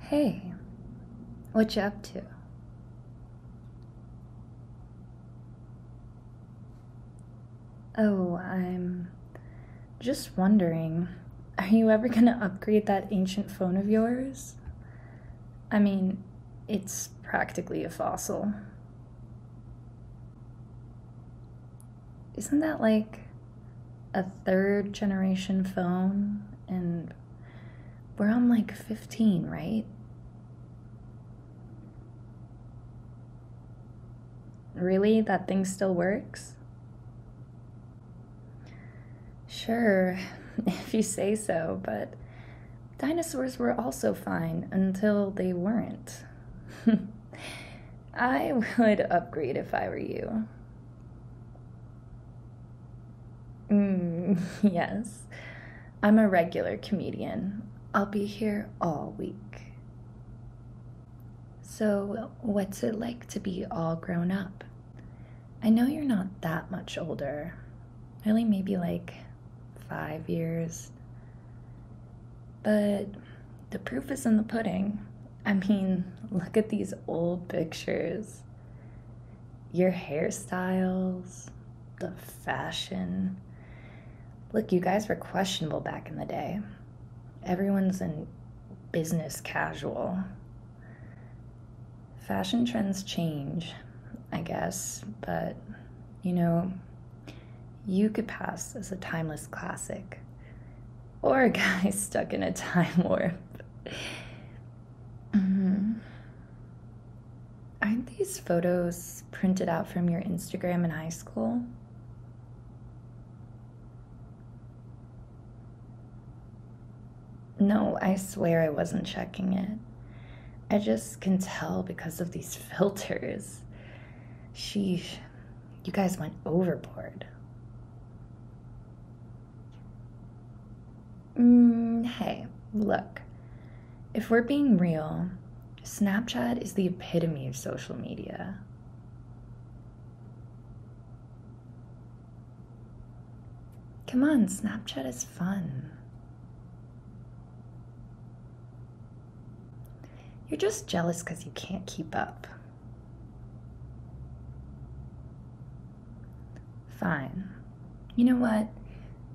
Hey, what you up to? Oh, I'm just wondering, are you ever gonna upgrade that ancient phone of yours? I mean, it's practically a fossil isn't that like a third generation phone? And we're on like 15, right? Really? That thing still works? Sure, if you say so, but dinosaurs were also fine until they weren't. I would upgrade if I were you. Mm, yes, I'm a regular comedian. I'll be here all week. So, what's it like to be all grown up? I know you're not that much older, really, maybe like five years. But the proof is in the pudding. I mean, look at these old pictures. Your hairstyles, the fashion. Look, you guys were questionable back in the day. Everyone's in business casual. Fashion trends change, I guess, but you know, you could pass as a timeless classic or a guy stuck in a time warp. hmm Aren't these photos printed out from your Instagram in high school? No, I swear I wasn't checking it. I just can tell because of these filters. Sheesh. You guys went overboard. Mm, hey, look. If we're being real, Snapchat is the epitome of social media. Come on, Snapchat is fun. You're just jealous because you can't keep up. Fine. You know what?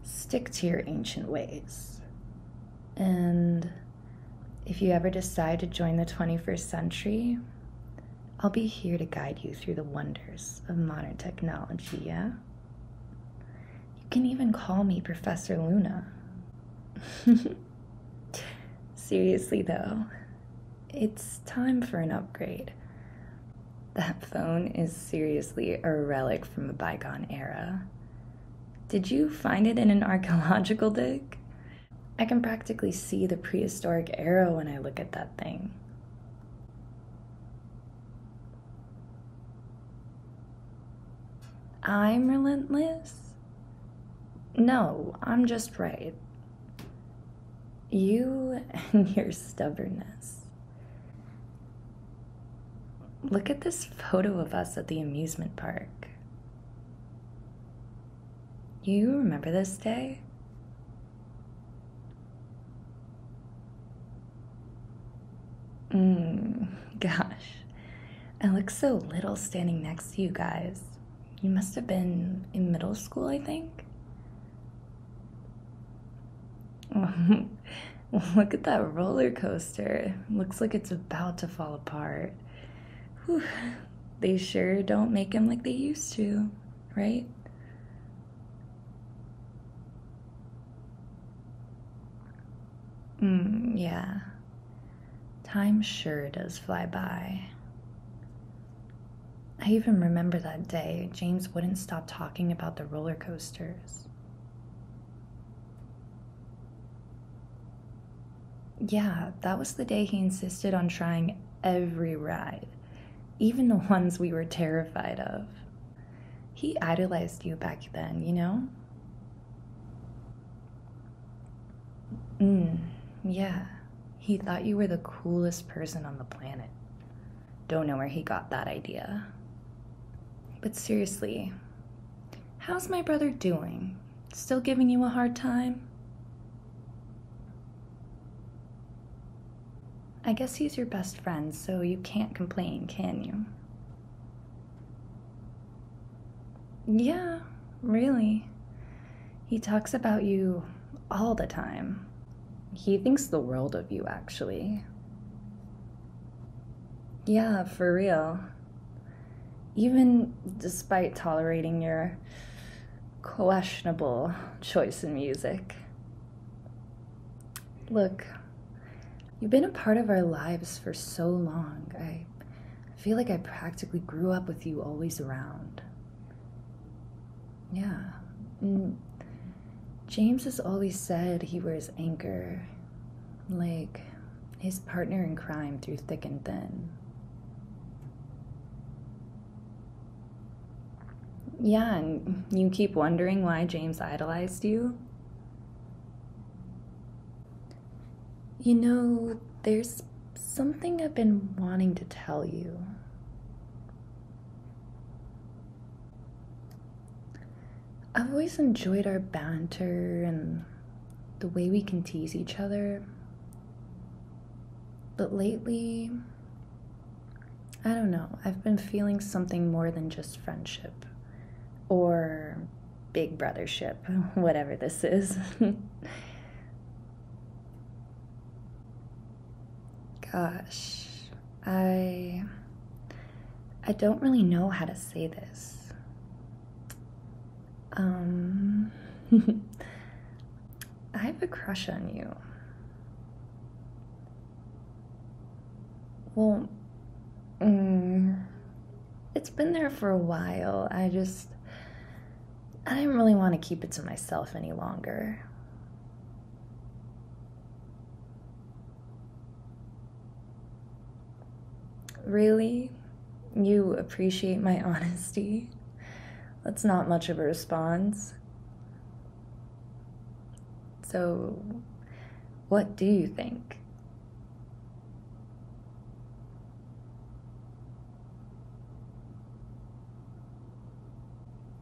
Stick to your ancient ways. And if you ever decide to join the 21st century, I'll be here to guide you through the wonders of modern technology, yeah? You can even call me Professor Luna. Seriously, though, it's time for an upgrade. That phone is seriously a relic from a bygone era. Did you find it in an archaeological dig? I can practically see the prehistoric era when I look at that thing. I'm relentless? No, I'm just right. You and your stubbornness. Look at this photo of us at the amusement park. You remember this day? Mm, gosh. I look so little standing next to you guys. You must have been in middle school, I think. Look at that roller coaster. Looks like it's about to fall apart. They sure don't make them like they used to, right? Mm, yeah. Time sure does fly by. I even remember that day, James wouldn't stop talking about the roller coasters. Yeah, that was the day he insisted on trying every ride, even the ones we were terrified of. He idolized you back then, you know? Mm, yeah. He thought you were the coolest person on the planet. Don't know where he got that idea. But seriously, how's my brother doing? Still giving you a hard time? I guess he's your best friend, so you can't complain, can you? Yeah, really. He talks about you all the time. He thinks the world of you, actually. Yeah, for real. Even despite tolerating your questionable choice in music. Look, you've been a part of our lives for so long. I feel like I practically grew up with you always around. Yeah. Mm. James has always said he wears anchor, like his partner in crime through thick and thin. Yeah, and you keep wondering why James idolized you? You know, there's something I've been wanting to tell you. I've always enjoyed our banter and the way we can tease each other. But lately, I don't know, I've been feeling something more than just friendship or big brothership, whatever this is. Gosh, I I don't really know how to say this. Um I have a crush on you. Well, mm, it's been there for a while. I just. I didn't really want to keep it to myself any longer. Really? You appreciate my honesty? That's not much of a response. So, what do you think?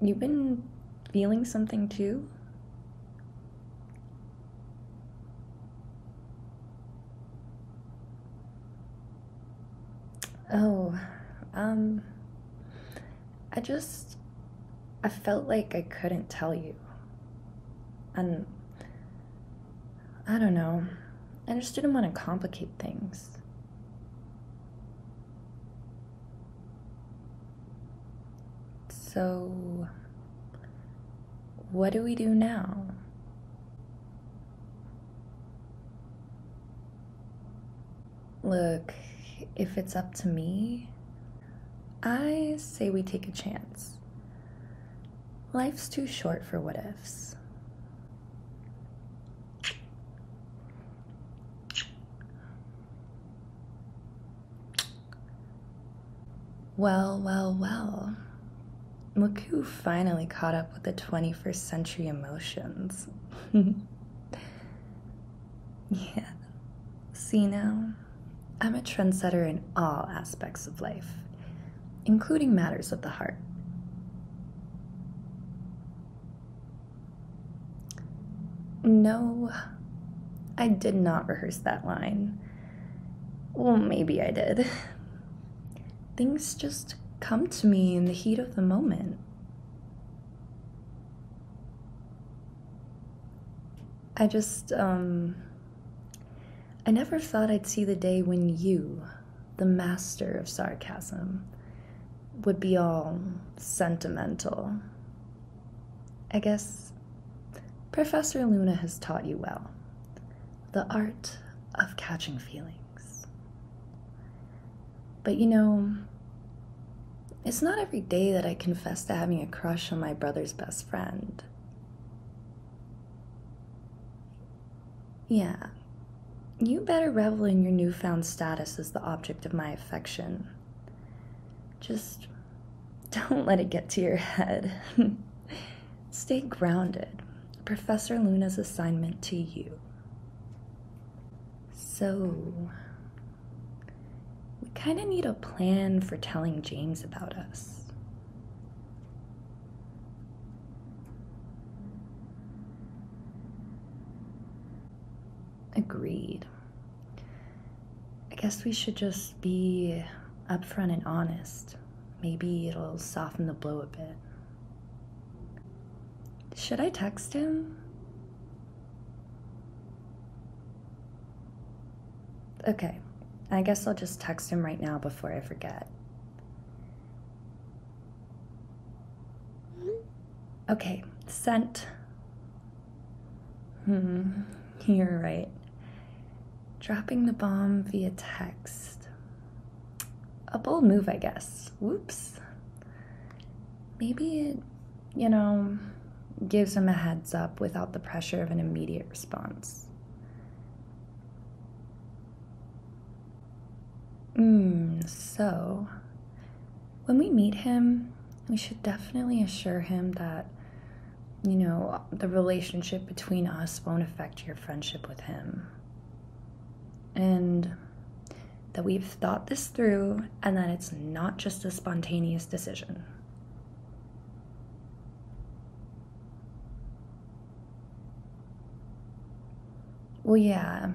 You've been feeling something too? Oh, um, I just, I felt like I couldn't tell you. And I don't know, I just didn't want to complicate things. So, what do we do now? Look, if it's up to me, I say we take a chance. Life's too short for what ifs. Well, well, well. Look who finally caught up with the 21st century emotions. Yeah. See now, I'm a trendsetter in all aspects of life, including matters of the heart. No, I did not rehearse that line. Well, maybe I did. Things just come to me in the heat of the moment. I just, um, I never thought I'd see the day when you, the master of sarcasm, would be all sentimental. I guess Professor Luna has taught you well the art of catching feelings. But you know, it's not every day that I confess to having a crush on my brother's best friend. Yeah, you better revel in your newfound status as the object of my affection. Just don't let it get to your head. Stay grounded. Professor Luna's assignment to you. So, we kind of need a plan for telling James about us. Agreed. I guess we should just be upfront and honest. Maybe it'll soften the blow a bit. Should I text him? Okay, I guess I'll just text him right now before I forget. Okay, sent. Hmm, you're right. Dropping the bomb via text. A bold move, I guess whoops maybe it you know gives him a heads up without the pressure of an immediate response hmm, so when we meet him we should definitely assure him that you know the relationship between us won't affect your friendship with him and that we've thought this through and that it's not just a spontaneous decision. Well, yeah,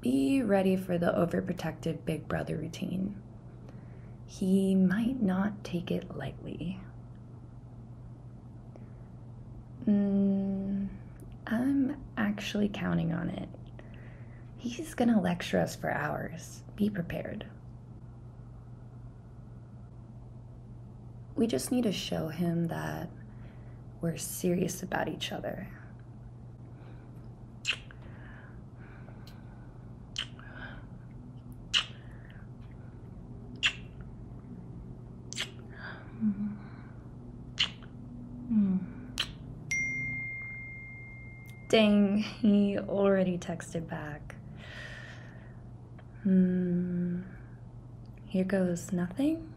be ready for the overprotective big brother routine. He might not take it lightly. Mm, I'm actually counting on it. He's gonna lecture us for hours. Be prepared. We just need to show him that we're serious about each other. Mm. Dang, he already texted back. Hmm. Here goes nothing.